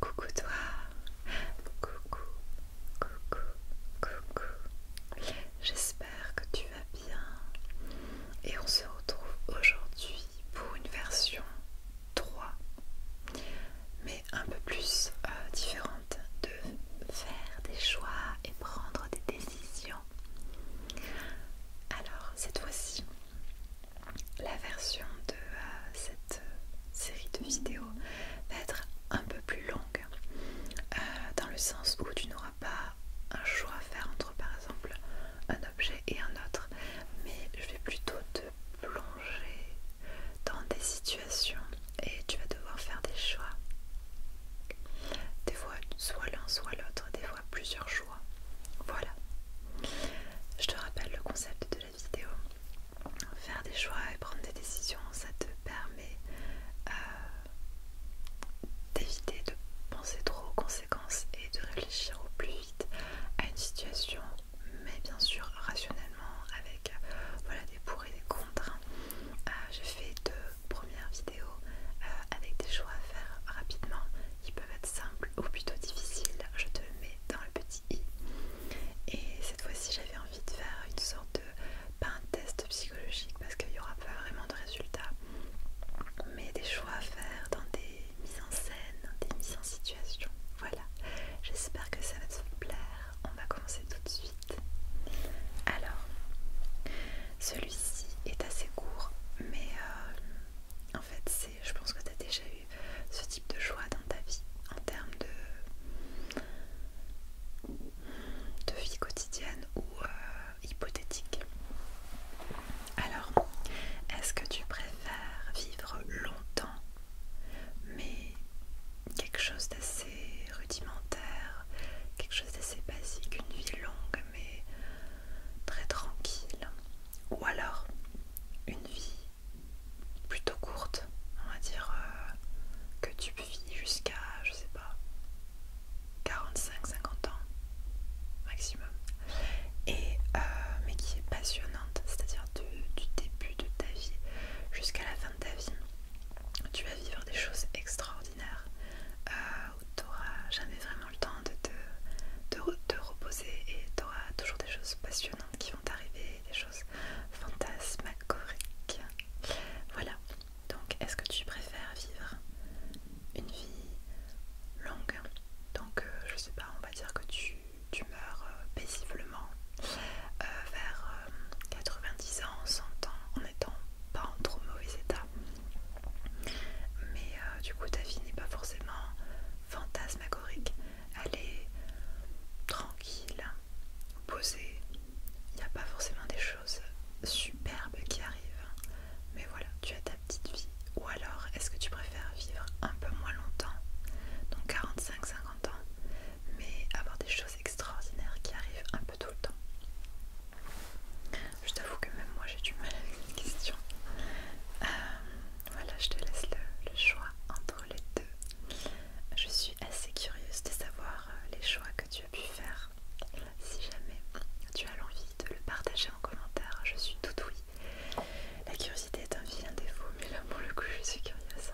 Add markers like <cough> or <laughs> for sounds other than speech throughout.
Coucou toi, coucou, coucou, coucou. J'espère que tu vas bien et on se retrouve aujourd'hui pour une version 3, mais un peu plus euh, différente de faire des choix et prendre des décisions alors, cette fois-ci, la version de euh, cette euh, série de vidéos va être un peu plus longue, euh, dans le sens où tu n'auras pas un choix à faire entre par exemple un objet et un autre, mais je vais plutôt te plonger dans des situations et tu vas devoir faire des choix des fois, soit l'un, soit l'autre, des fois plusieurs choix. Voilà. Je te rappelle le concept de la vidéo. Faire des choix et prendre des décisions, ça te permet euh, d'éviter de penser trop aux conséquences et de réfléchir au plus vite à une situation, mais bien sûr rationnellement, avec euh, voilà, des pour et des contre. Hein. Euh, j'ai fait de première vidéo euh, avec des choix à faire rapidement qui peuvent être simples ou plutôt difficiles. Je te le mets dans le petit i. Et cette fois-ci, j'avais envie de faire une sorte de pas un test psychologique parce qu'il n'y aura pas vraiment de résultats, mais des choix à faire dans des mises en scène, des mises en situation. Voilà, j'espère que ça va te plaire. On va commencer tout de suite. Alors, celui-ci est assez court, mais euh, en fait, c'est, je pense que tu as déjà eu ce type de joie dans ta vie en termes de, vie quotidienne ou euh, hypothétique. Alors, est-ce que tu préfères vivre longtemps, mais quelque chose d'assez rudimentaire, quelque chose d'assez basique, une vie longue mais très tranquille. Ou alors une vie plutôt courte, on va dire euh, que tu vis jusqu'à, je sais pas, 45-50 ans maximum. Et, euh, mais qui est passionnante, c'est-à-dire du début de ta vie jusqu'à la fin de ta vie. Tu vas vivre des choses extraordinaires euh, où tu n'auras jamais vraiment le temps de te, de reposer et tu auras toujours des choses passionnantes qui vont t'arriver, des choses fantasmagoriques. Voilà, donc est-ce que tu préfères vivre une vie longue Donc euh, je sais pas, on va dire que tu, meurs euh, paisiblement vers 90 ans, 100 ans, en étant pas en trop mauvais état. Mais euh, du coup, ta vie n'est pas forcément fantasmagorique. Elle est tranquille, posée. Il n'y a pas forcément des choses superbes qui arrivent. Mais voilà, tu as ta petite vie. Ou alors, est-ce que tu préfères vivre un peu moins longtemps, donc 45-50 ans, mais avoir des choses extraordinaires qui arrivent un peu tout le temps je t'avoue que même moi j'ai du mal avec une question, euh, voilà, je te laisse le, choix entre les deux. Je suis assez curieuse de savoir euh, les choix que tu as pu faire. Si jamais tu as l'envie de le partager en commentaire, je suis tout oui. La curiosité est un vilain défaut, mais là pour le coup je suis curieuse.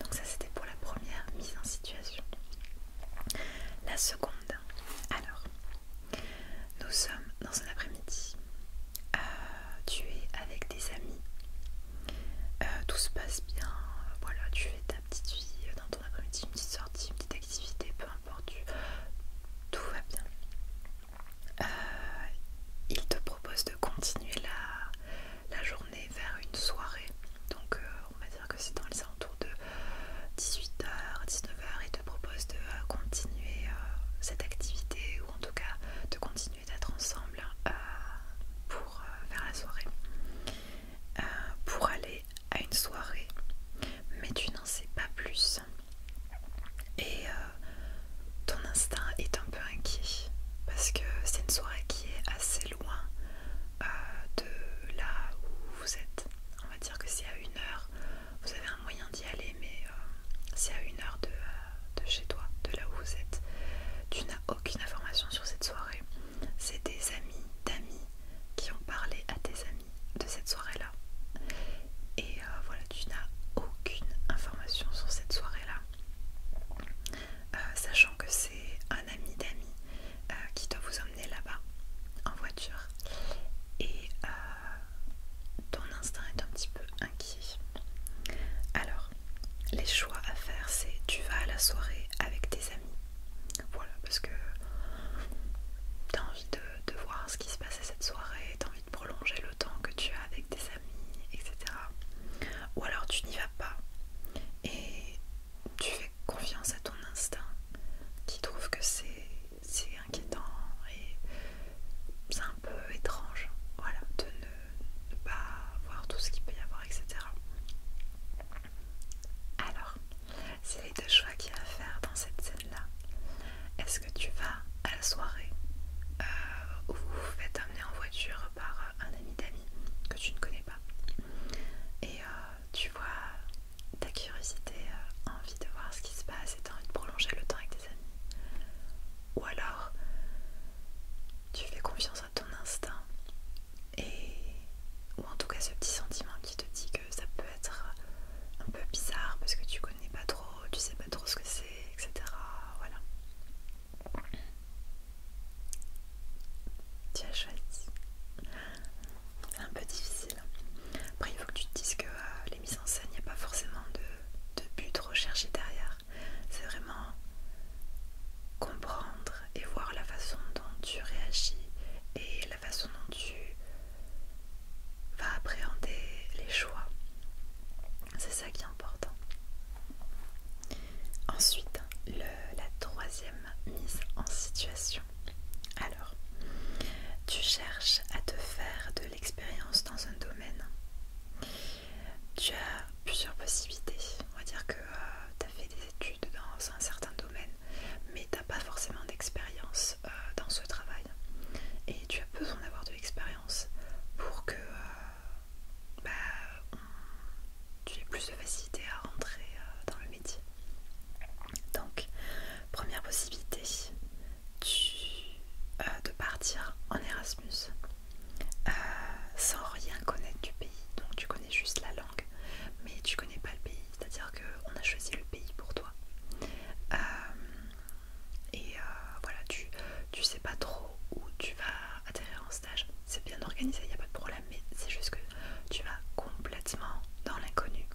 Donc ça c'était pour la première mise en situation. La seconde, alors, nous sommes dans un après-midi, euh, tu es avec des amis, euh, tout se passe bien, voilà, tu fais ta petite vie dans ton après-midi, une petite sortie, une petite activité, peu importe, tout va bien. Euh, il te propose de continuer la, la journée vers une soirée. Donc euh, on va dire que c'est dans les alentours de 18h, 19h et te propose de euh, continuer euh, cette activité ou en tout cas de continuer d'être ensemble pour vers la soirée. pour aller à une soirée, mais tu n'en sais pas plus. Et ton instinct est un peu inquiet parce que c'est une soirée qui est assez loin euh, de là où vous êtes. On va dire que c'est à une heure, vous avez un moyen d'y aller, mais c'est euh, à une heure euh, de, chez toi, de là où vous êtes, tu n'as aucune information sur cette soirée. C'est des amis d'amis qui ont parlé à tes amis de cette soirée-là. Et voilà, tu n'as aucune information sur cette soirée-là. Euh, sachant que c'est un ami d'amis euh, qui doit vous emmener là-bas en voiture et euh, ton instinct est un petit peu inquiet. Alors, les choix à faire, c'est tu vas à la soirée avec tes amis. Voilà, parce que tu as envie de, voir ce qui se passe cette soirée, tu as envie de prolonger le temps que tu as avec tes amis, etc. Ou alors tu n'y vas pas et tu fais confiance à ton instinct qui trouve que c'est inquiétant et c'est un peu étrange de ne, pas voir tout ce qu'il peut y avoir, etc. Alors, c'est les deux choix qu'il y a à faire dans cette scène-là. Est-ce que tu vas à la soirée ou euh, où vous vous faites emmener en voiture par euh, un ami d'amis que tu ne connais pas et euh, tu vois ta curiosité, euh, envie de voir ce qui se passe et t'as envie de prolonger le temps avec tes amis. Ou alors tu fais confiance à ton instinct et ou en tout cas ce petit sentiment qui te dit que ça peut être un peu bizarre parce que tu connais pas trop, tu sais pas trop ce que c'est, etc. Voilà. Tu as choisi. C'est un peu difficile. Hein. Après, il faut que tu te dises que euh, les mises en scène, il n'y a pas forcément de, de but recherché derrière. C'est vraiment comprendre et voir la façon dont tu réagis et la façon dont tu vas appréhender les choix. C'est ça qui est important. Ensuite, la troisième mise en situation. Alors, tu cherches à te faire de l'expérience dans un domaine. Tu as plusieurs possibilités. On va dire que euh, tu as fait des études dans un certain domaine, mais tu n'as pas forcément d'expérience euh, dans ce travail. Et tu as besoin d'avoir de l'expérience pour que euh, bah, tu es plus de facilité à rentrer euh, dans le métier. Donc, première possibilité, euh, de partir en Erasmus euh, sans rien connaître du pays. Donc, tu connais juste la langue, mais tu connais pas le pays. C'est-à-dire qu'on a choisi le pays pour toi. et voilà, tu, tu sais pas trop où tu vas atterrir en stage c'est bien organisé, il n'y a pas de problème, mais c'est juste que tu vas complètement dans l'inconnu.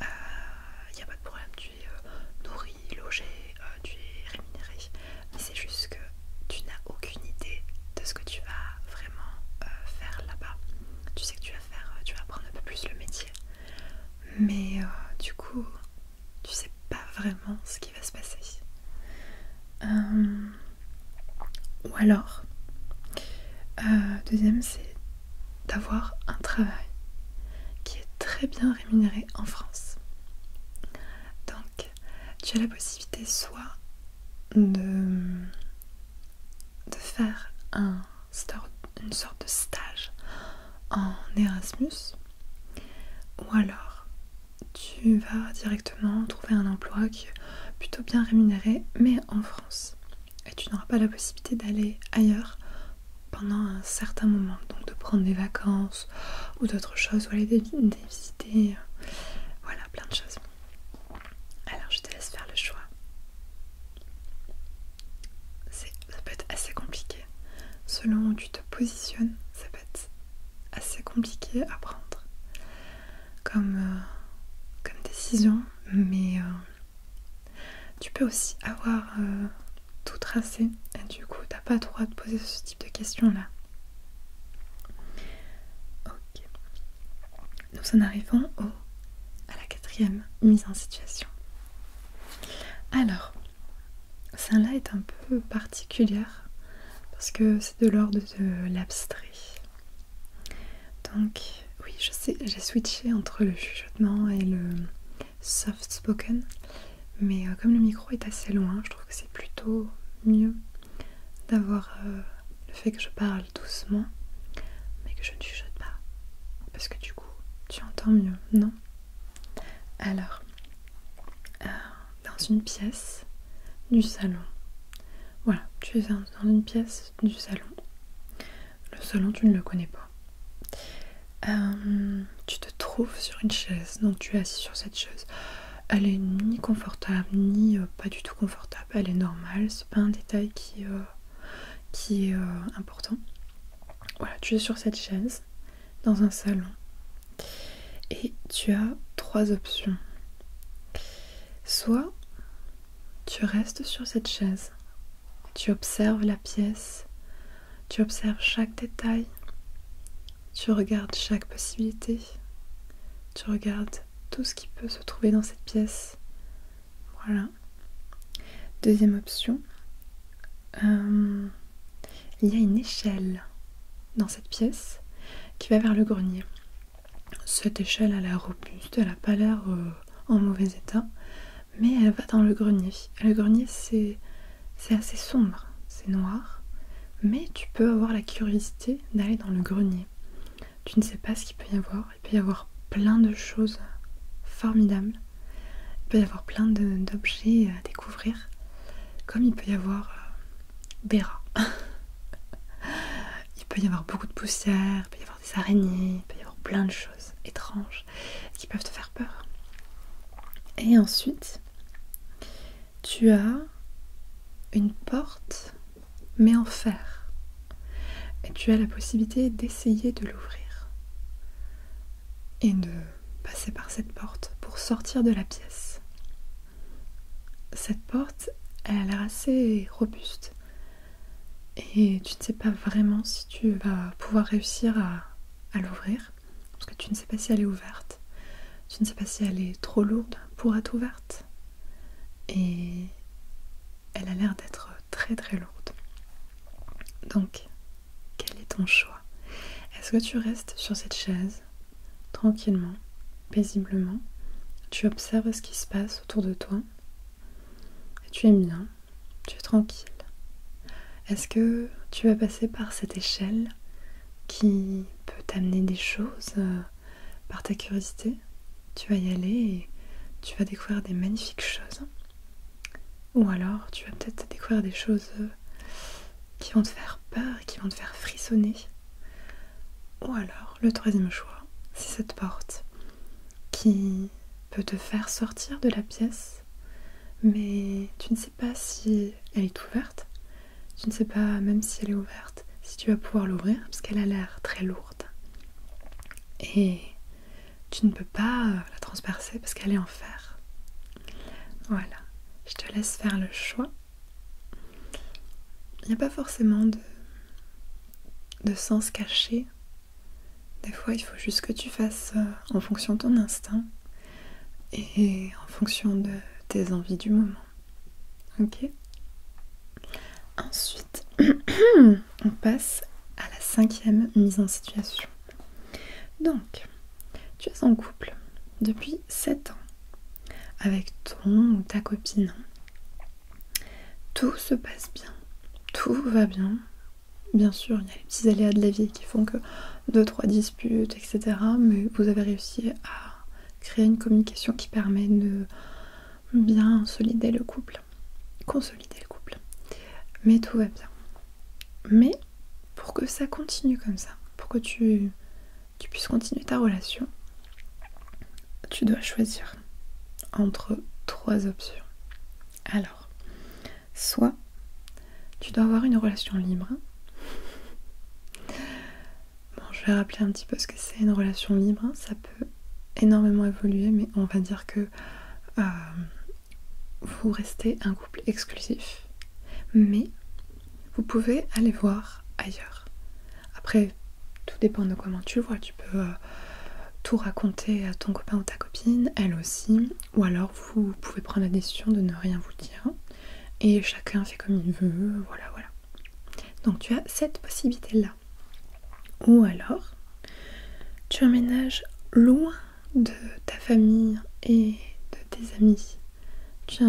Il euh, n'y a pas de problème, tu es euh, nourri, logé, euh, tu es rémunéré, mais c'est juste que tu n'as aucune idée de ce que tu vas vraiment faire là-bas. Tu sais que tu vas faire, tu vas apprendre un peu plus le métier, mais du coup, tu sais pas vraiment ce qui va se passer. Euh, ou alors, euh, deuxième, c'est d'avoir un travail qui est très bien rémunéré en France. Donc, tu as la possibilité soit de, de faire un, une sorte de stage en Erasmus, ou alors tu vas directement trouver un emploi qui est plutôt bien rémunéré, mais en France. Et tu n'auras pas la possibilité d'aller ailleurs pendant un certain moment, donc de prendre des vacances ou d'autres choses, ou aller des, visiter, euh, voilà, plein de choses. Alors je te laisse faire le choix. Ça peut être assez compliqué. Selon où tu te positionnes, ça peut assez compliqué à prendre comme, euh, comme décision, mais euh, tu peux aussi avoir euh, tout tracé et du coup tu t'as pas le droit de poser ce type de questions là. Ok. Nous en arrivons au, à la quatrième mise en situation. Alors, celle-là est un peu particulière parce que c'est de l'ordre de l'abstrait. Donc oui, je sais, j'ai switché entre le chuchotement et le soft spoken, mais euh, comme le micro est assez loin, je trouve que c'est plutôt mieux d'avoir euh, le fait que je parle doucement, mais que je ne chuchote pas, parce que du coup, tu entends mieux, non Alors, euh, dans une pièce du salon. Voilà, tu es dans une pièce du salon. Le salon, tu ne le connais pas. Euh, tu te trouves sur une chaise, donc tu es assis sur cette chaise. Elle est ni confortable, ni euh, pas du tout confortable. Elle est normale, c'est pas un détail qui, euh, qui est important. Voilà, tu es sur cette chaise dans un salon. Et tu as trois options. Soit tu restes sur cette chaise, tu observes la pièce, tu observes chaque détail, tu regardes chaque possibilité, tu regardes tout ce qui peut se trouver dans cette pièce. Voilà. Deuxième option, euh, il y a une échelle dans cette pièce qui va vers le grenier. Cette échelle, a l'air robuste, elle n'a pas l'air euh, en mauvais état, mais elle va dans le grenier. Le grenier, c'est assez sombre, c'est noir, mais tu peux avoir la curiosité d'aller dans le grenier. Tu ne sais pas ce qu'il peut y avoir, il peut y avoir plein de choses formidables, il peut y avoir plein d'objets à découvrir comme il peut y avoir des euh, rats. il peut y avoir beaucoup de poussière, il peut y avoir des araignées, il peut y avoir plein de choses étranges qui peuvent te faire peur. Et ensuite, tu as une porte, mais en fer. Et tu as la possibilité d'essayer de l'ouvrir et de passer par cette porte pour sortir de la pièce. Cette porte, elle a l'air assez robuste. Et tu ne sais pas vraiment si tu vas pouvoir réussir à, l'ouvrir. Parce que tu ne sais pas si elle est ouverte. Tu ne sais pas si elle est trop lourde pour être ouverte. Et elle a l'air d'être très très lourde. Donc, quel est ton choix Est-ce que tu restes sur cette chaise, tranquillement, paisiblement Tu observes ce qui se passe autour de toi et Tu es bien, tu es tranquille. Est-ce que tu vas passer par cette échelle qui peut t'amener des choses euh, par ta curiosité Tu vas y aller et tu vas découvrir des magnifiques choses. Ou alors tu vas peut-être découvrir des choses euh, qui vont te faire peur, et qui vont te faire frissonner. Ou alors le troisième choix, c'est cette porte qui peut te faire sortir de la pièce, mais tu ne sais pas si elle est ouverte, tu ne sais pas même si elle est ouverte, si tu vas pouvoir l'ouvrir, parce qu'elle a l'air très lourde. Et tu ne peux pas euh, la transpercer parce qu'elle est en fer. Voilà, je te laisse faire le choix. Il n'y a pas forcément de, sens caché. Des fois, il faut juste que tu fasses euh, en fonction de ton instinct et en fonction de tes envies du moment. Ok Ensuite, <clears throat> on passe à la cinquième mise en situation. Donc, tu es en couple depuis 7 ans avec ton ou ta copine. Tout se passe bien, tout va bien. Bien sûr, il y a les petits aléas de la vie qui font que 2-3 disputes, etc. Mais vous avez réussi à créer une communication qui permet de bien solider le couple, consolider le couple. Mais tout va bien. Mais pour que ça continue comme ça, pour que tu, puisses continuer ta relation, tu dois choisir entre trois options. Alors, soit tu dois avoir une relation libre. Bon, je vais rappeler un petit peu ce que c'est une relation libre. Ça peut énormément évoluer, mais on va dire que euh, vous restez un couple exclusif, mais vous pouvez aller voir ailleurs. Après, tout dépend de comment tu vois. Tu peux euh, tout raconter à ton copain ou ta copine, elle aussi, ou alors vous pouvez prendre la décision de ne rien vous dire et chacun fait comme il veut, voilà, voilà. Donc tu as cette possibilité-là. Ou alors, tu emménages loin de ta famille et de tes amis. Tu,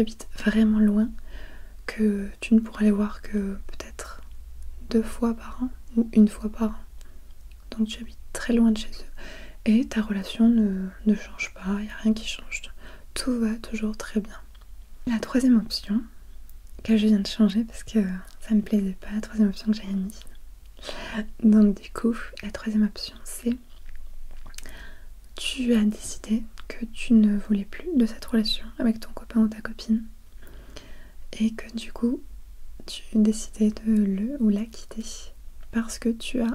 habites vraiment loin, que tu ne pourras les voir que peut-être deux fois par an ou une fois par an. Donc tu habites très loin de chez eux et ta relation ne, change pas, il n'y a rien qui change. Tout va toujours très bien. La troisième option, que je viens de changer parce que ça ne me plaisait pas, la troisième option que j'avais mise, donc du coup, la troisième option, c'est tu as décidé que tu ne voulais plus de cette relation avec ton copain ou ta copine et que du coup, tu décidais de le ou la quitter parce que tu as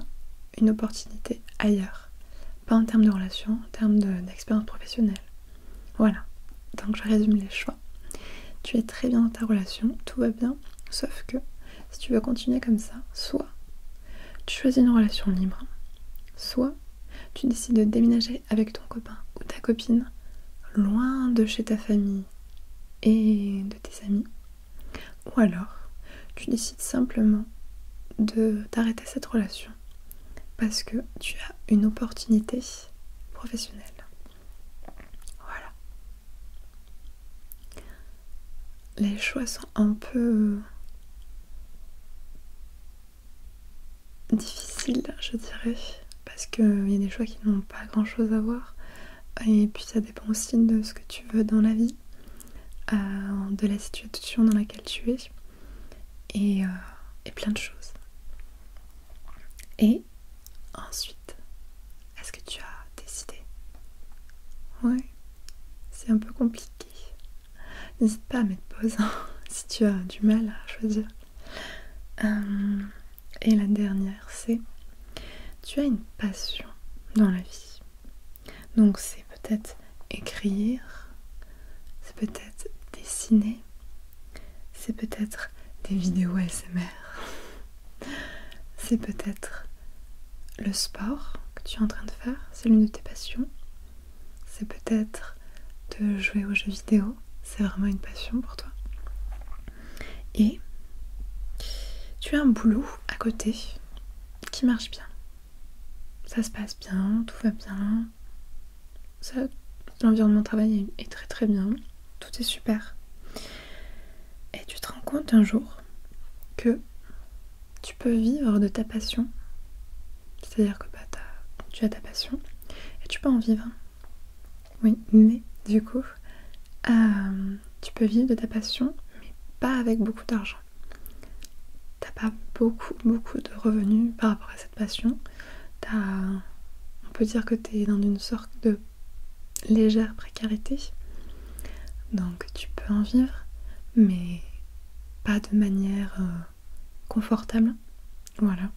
une opportunité ailleurs. Pas en termes de relation, en termes d'expérience professionnelle. Voilà. Donc je résume les choix. Tu es très bien dans ta relation, tout va bien, sauf que si tu veux continuer comme ça, soit tu choisis une relation libre, soit tu décides de déménager avec ton copain ou ta copine loin de chez ta famille et de tes amis, ou alors tu décides simplement de t'arrêter cette relation parce que tu as une opportunité professionnelle. Voilà. Les choix sont un peu difficiles, je dirais, parce qu'il y a des choix qui n'ont pas grand-chose à voir. Et puis ça dépend aussi de ce que tu veux dans la vie, euh, de la situation dans laquelle tu es, et euh, plein de choses. Et ensuite, est-ce que tu as décidé Oui c'est un peu compliqué. N'hésite pas à mettre pause hein, <laughs> si tu as du mal à choisir. Euh, et la dernière, c'est tu as une passion dans la vie. Donc c'est peut-être écrire, c'est peut-être dessiner, c'est peut-être des vidéos SMR. <laughs> c'est peut-être le sport que tu es en train de faire, c'est l'une de tes passions. C'est peut-être de jouer aux jeux vidéo, c'est vraiment une passion pour toi. Et tu as un boulot à côté qui marche bien. Ça se passe bien, tout va bien. l'environnement de travail est très très bien tout est super. Et tu te rends compte un jour que tu peux vivre de ta passion. C'est-à-dire que bah, tu as ta passion et tu peux en vivre. Oui, mais du coup, euh, tu peux vivre de ta passion, mais pas avec beaucoup d'argent. T'as pas beaucoup, beaucoup de revenus par rapport à cette passion. on peut dire que tu es dans une sorte de légère précarité. Donc tu peux en vivre, mais pas de manière euh, confortable. Voilà.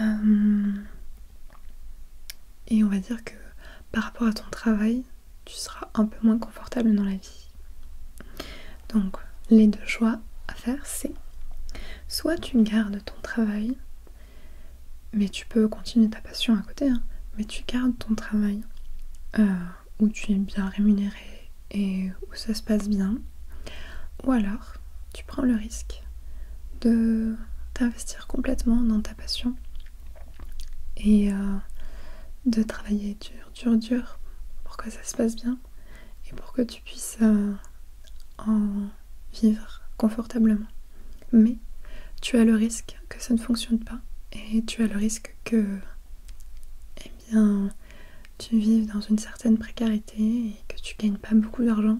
Euh, et on va dire que par rapport à ton travail, tu seras un peu moins confortable dans la vie. Donc les deux choix à faire, c'est soit tu gardes ton travail, mais tu peux continuer ta passion à côté, hein. mais tu gardes ton travail euh, où tu es bien rémunéré et où ça se passe bien. Ou alors, tu prends le risque de t'investir complètement dans ta passion et euh, de travailler dur, dur, dur pour que ça se passe bien et pour que tu tu puisses euh, en vivre confortablement. Mais tu as le risque que ça ne fonctionne pas et tu as le risque que eh bien, tu vives dans une certaine précarité et que tu gagnes pas beaucoup d'argent,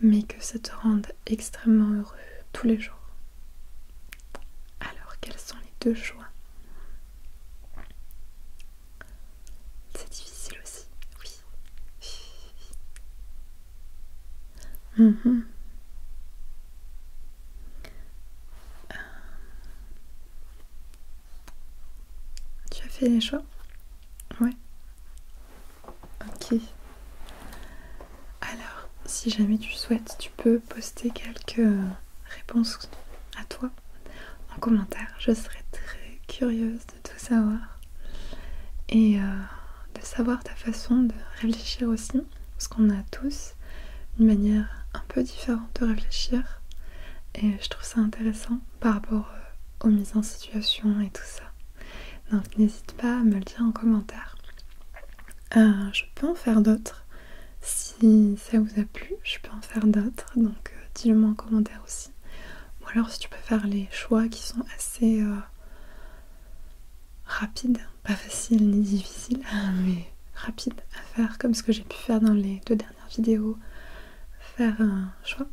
mais que ça te rende extrêmement heureux tous les jours. Alors, quels sont les deux choix C'est difficile aussi, oui. Euh, tu as fait les choix Ouais. Ok. Alors, si jamais tu souhaites, tu peux poster quelques réponses à toi en commentaire. Je serais très curieuse de tout savoir et euh, de savoir ta façon de réfléchir aussi, parce qu'on a tous une manière un peu différente de réfléchir et je trouve ça intéressant par rapport euh, aux mises en situation et tout ça. Donc n'hésite pas à me le dire en commentaire. Euh, je peux en faire d'autres. Si ça vous a plu, je peux en faire d'autres. Donc dis-le moi en commentaire aussi. Ou alors si tu peux faire les choix qui sont assez euh, rapides, pas faciles ni difficiles, ah, mais rapides à faire, comme ce que j'ai pu faire dans les deux dernières vidéos, faire un choix.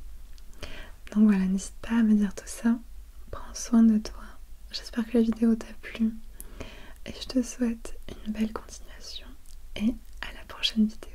Donc voilà, n'hésite pas à me dire tout ça. Prends soin de toi. J'espère que la vidéo t'a plu. Et je te souhaite une belle continuation et à la prochaine vidéo.